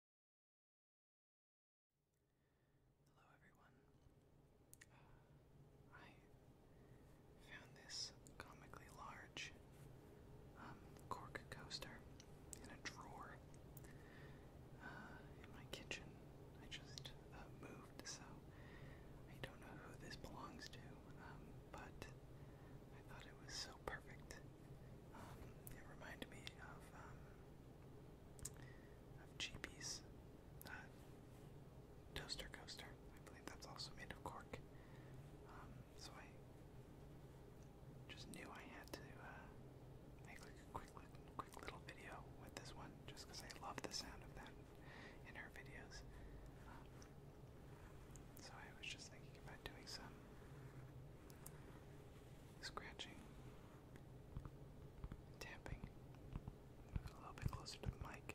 Hello everyone. Uh, I found this comically large um, cork coaster in a drawer uh, in my kitchen. I just uh, moved, so I don't know who this belongs to, um, but I thought it was so perfect um, it reminded me of um, of GP's uh, toaster coaster. I believe that's also made of cork. Um, so I just knew I had to uh, make like a quick, quick little video with this one, just because I love the sound of that in her videos. Um, so I was just thinking about doing some scratching, tapping. a little bit closer to the mic.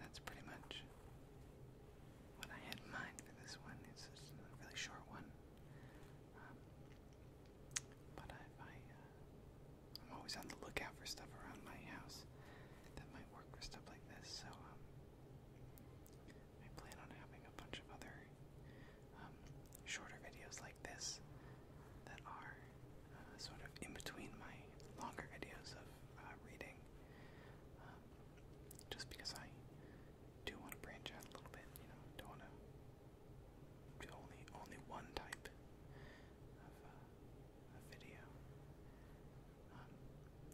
That's pretty much what I had in mind for this one. It's just a really short one, um, but I, am uh, always on the lookout for stuff around my house that might work for stuff like this. So um, I plan on having a bunch of other um, shorter videos like this that are uh, sort of in between my longer videos of uh, reading, um, just because I do want to branch out a little bit. You know, don't want to do only only one type of, uh, video. Um,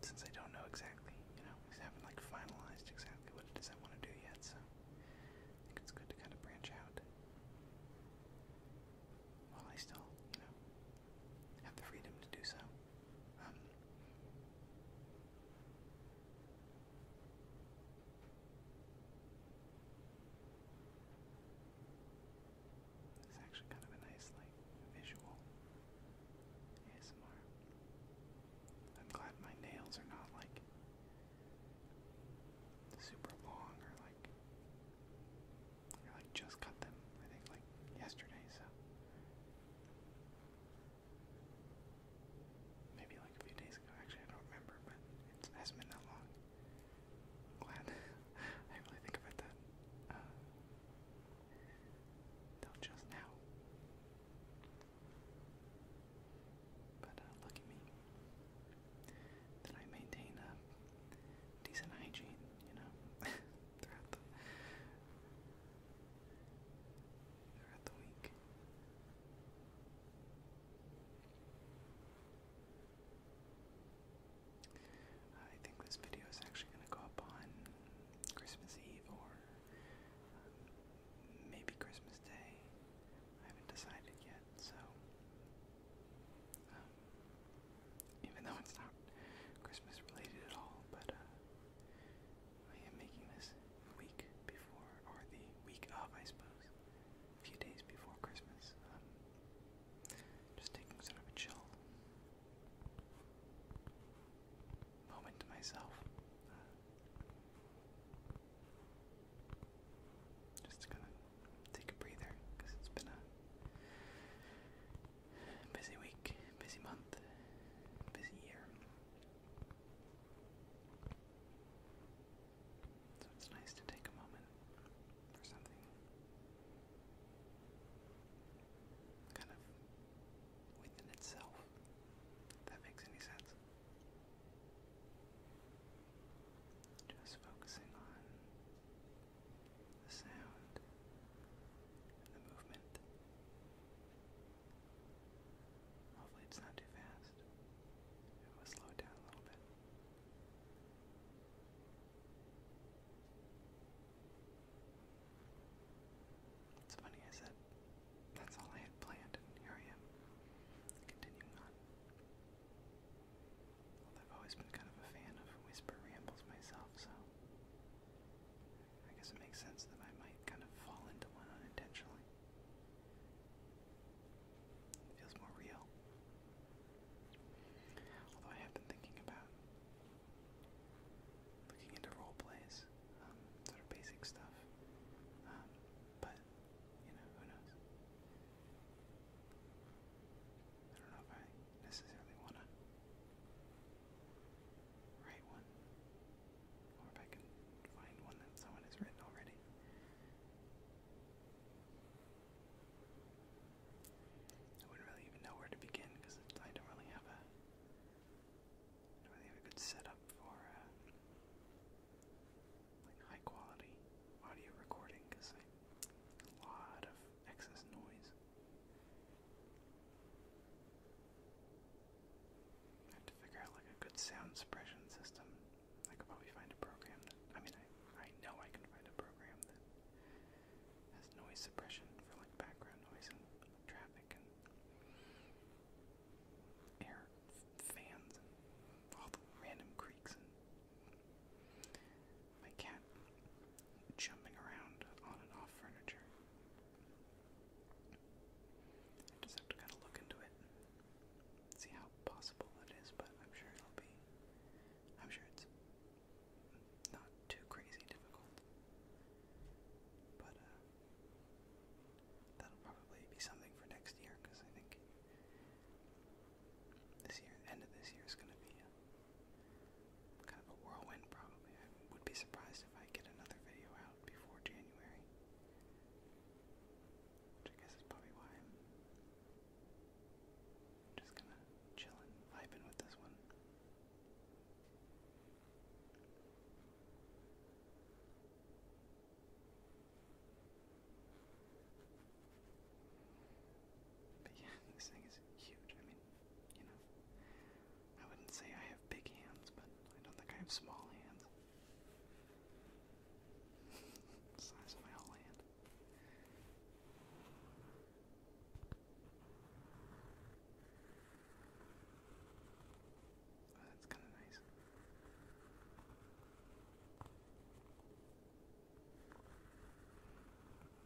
since I don't know exactly, you know, I haven't like finalized exactly what it is I want to do yet, so I think it's good to kind of branch out while I still, you know, have the freedom to do so. Um, it's actually kind of a nice, like, visual ASMR. I'm glad my nails are not like super long or like I like just cut them, I think like yesterday, so maybe like a few days ago, actually I don't remember, but it hasn't been that long. glad I really think about that. Uh, till just now. But uh, look at me. That I maintain a decent hygiene, you know, throughout the throughout the week. I think this video is actually going to go up on Christmas Eve or maybe Christmas Day. I haven't decided yet, so um, even though it's not Christmas related at all, but uh, I am making this week before, or the week of, I suppose, a few days before Christmas. Um, just taking sort of a chill moment to myself. just gonna take a breather because it's been a busy week, busy month, busy year. So it's nice to take a moment for something kind of within itself. that makes any sense. Just focusing on the sound the movement. Hopefully, it's not too fast. It will slow down a little bit. It's funny, I said that's all I had planned, and here I am, continuing on. I've always been kind of a fan of whisper rambles myself, so I guess it makes sense that I might kind of fall into one unintentionally. feels more real. Although I have been thinking about looking into role plays, um, sort of basic stuff. Um, but you know, who knows? I don't know if I necessarily want to write one, or if I can find one that someone has written already. I wouldn't really even know where to begin because I don't really have a I have a good setup for uh, like high quality audio recording because I a lot of excess noise. I have to figure out like a good sound suppression system. I could probably find a program I mean I I know I can find a program that has noise suppression for like background noise and traffic air fans and all the random creaks and my cat jumping around on and off furniture. I just have to kind of look into it, see how possible it is, but I'm sure it'll be. I'm sure it's not too crazy difficult. But uh, That'll probably be something for next year because I think this year, end of this year, is going to be kind of a whirlwind. Probably, I would be surprised if I get another video out before January, which I guess is probably why I'm just gonna chillin', vibing with this one. But yeah, this thing is huge. I mean, you know, I wouldn't say I have big hands, but I don't think I have small hands. Size of my whole hand that's kind of nice.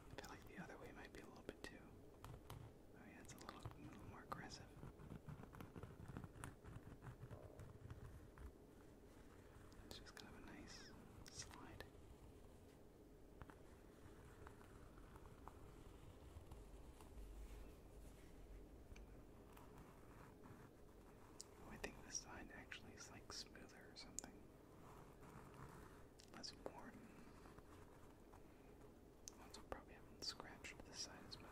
I feel like the other way might be a little bit too. Oh yeah, it's a little, a little more aggressive. It's just kind of a nice slide. Oh, I think this side actually is like smoother or something. Less worn. Also probably haven't scratched this side as much,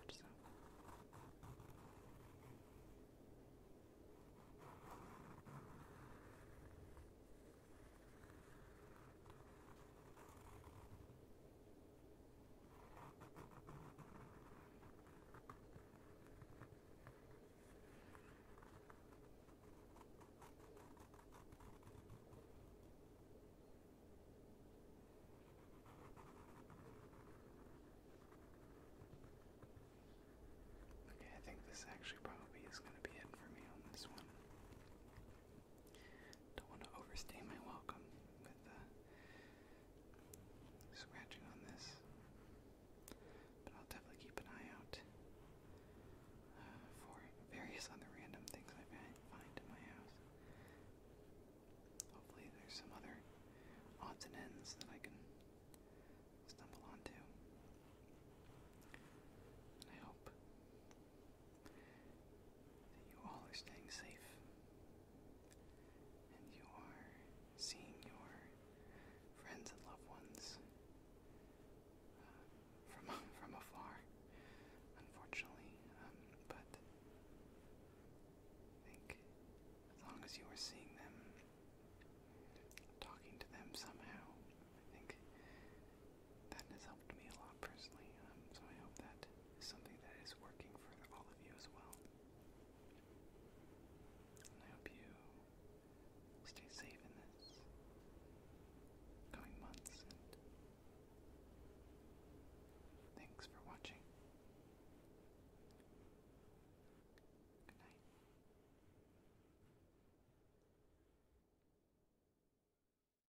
Okay, I think this actually probably is going to be it for me on this one. Don't want to overstay my welcome with uh, scratching on this, but I'll definitely keep an eye out uh, for various other random things I find in my house. Hopefully, there's some other odds and ends that I can stumble onto. I hope that you all are staying safe and you are seeing your friends and loved ones uh, from from afar, unfortunately, um, but I think as long as you are seeing them, talking to them somehow, I think that has helped me a lot personally. Um, so I hope that is something that is working for all of you as well. And I hope you stay safe in this coming months. thanks for watching. Good night.